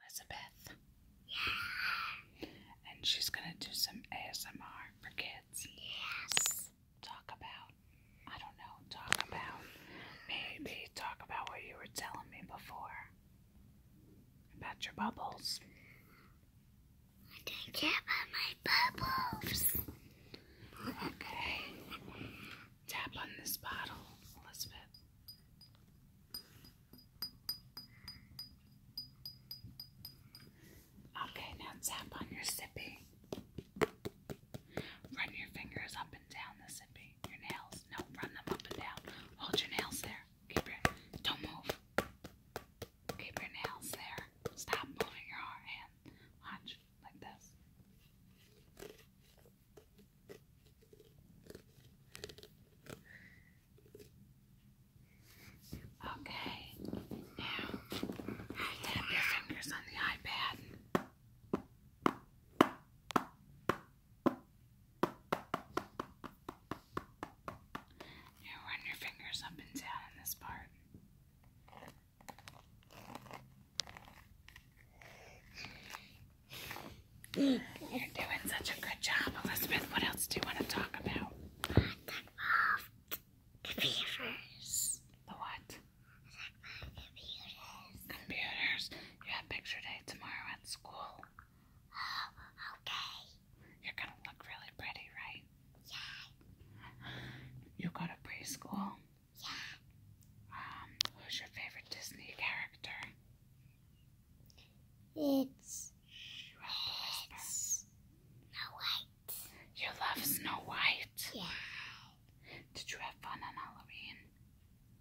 Elizabeth. Yeah. And she's gonna do some ASMR for kids. Yes. Talk about, I don't know, talk about, maybe talk about what you were telling me before about your bubbles. I do care about my bubbles. Okay. Tap on this bottle, Elizabeth. Okay, now tap on your sippy. Run your fingers up and down the sippy. Your nails. No, run them up and down. Hold your nails there. Keep your don't move. Keep your nails there. Stop moving your hand. Watch like this. Okay, now I tap your fingers on the iPad. You run your fingers up and down in this part. You're doing such a good job, Elizabeth. What else do you want to talk about? I talk about computers. The what? I talk about computers. Computers. You have picture day tomorrow at school. Oh, okay. You're gonna look really pretty, right? Yeah. You go to preschool? Yeah. Um, who's your favorite Disney character? It's. Snow White. You love Snow White? Yeah. Did you have fun on Halloween?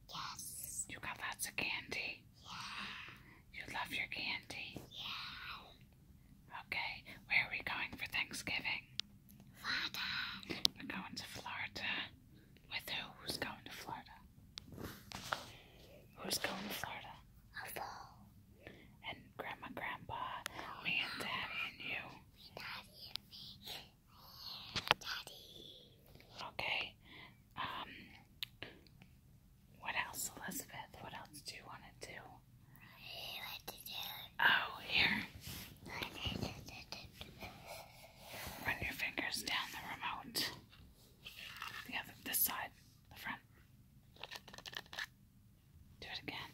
Yes. You got lots of candy? Yeah. You love your candy? Yeah. Okay, where are we going for Thanksgiving? Florida. We're going to Florida. With who? Who's going to Florida? Who's going to Florida? And Grandma, Grandpa, me and Daddy and you. Daddy Okay. Um. What else, Elizabeth? What else do you want to do? want to do. Oh, here. Run your fingers down the remote. The other, this side, the front. Do it again.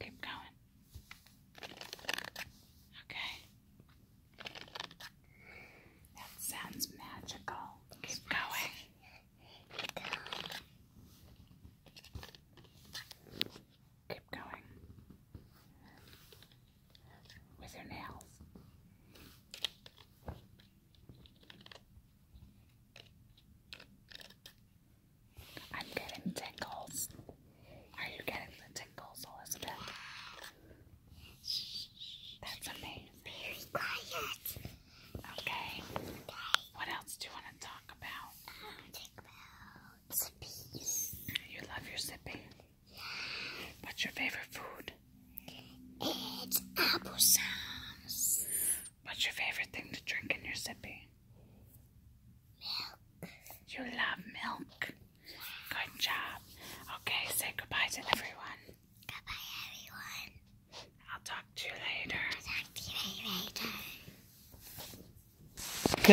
Keep going. Okay. That sounds magical. Keep going keep going with your nails. I'm getting tingles. Are you getting the tingles, Elizabeth? That's amazing. Very quiet. Okay. What else do you want to talk about? Um, about you love your sipping? Yeah. What's your favorite food? It's apple sauce. What's your favorite thing to drink in your sippy? Milk. You love milk? Good job. Okay, say goodbye to everyone. Goodbye, everyone. I'll talk to you later. talk to you later.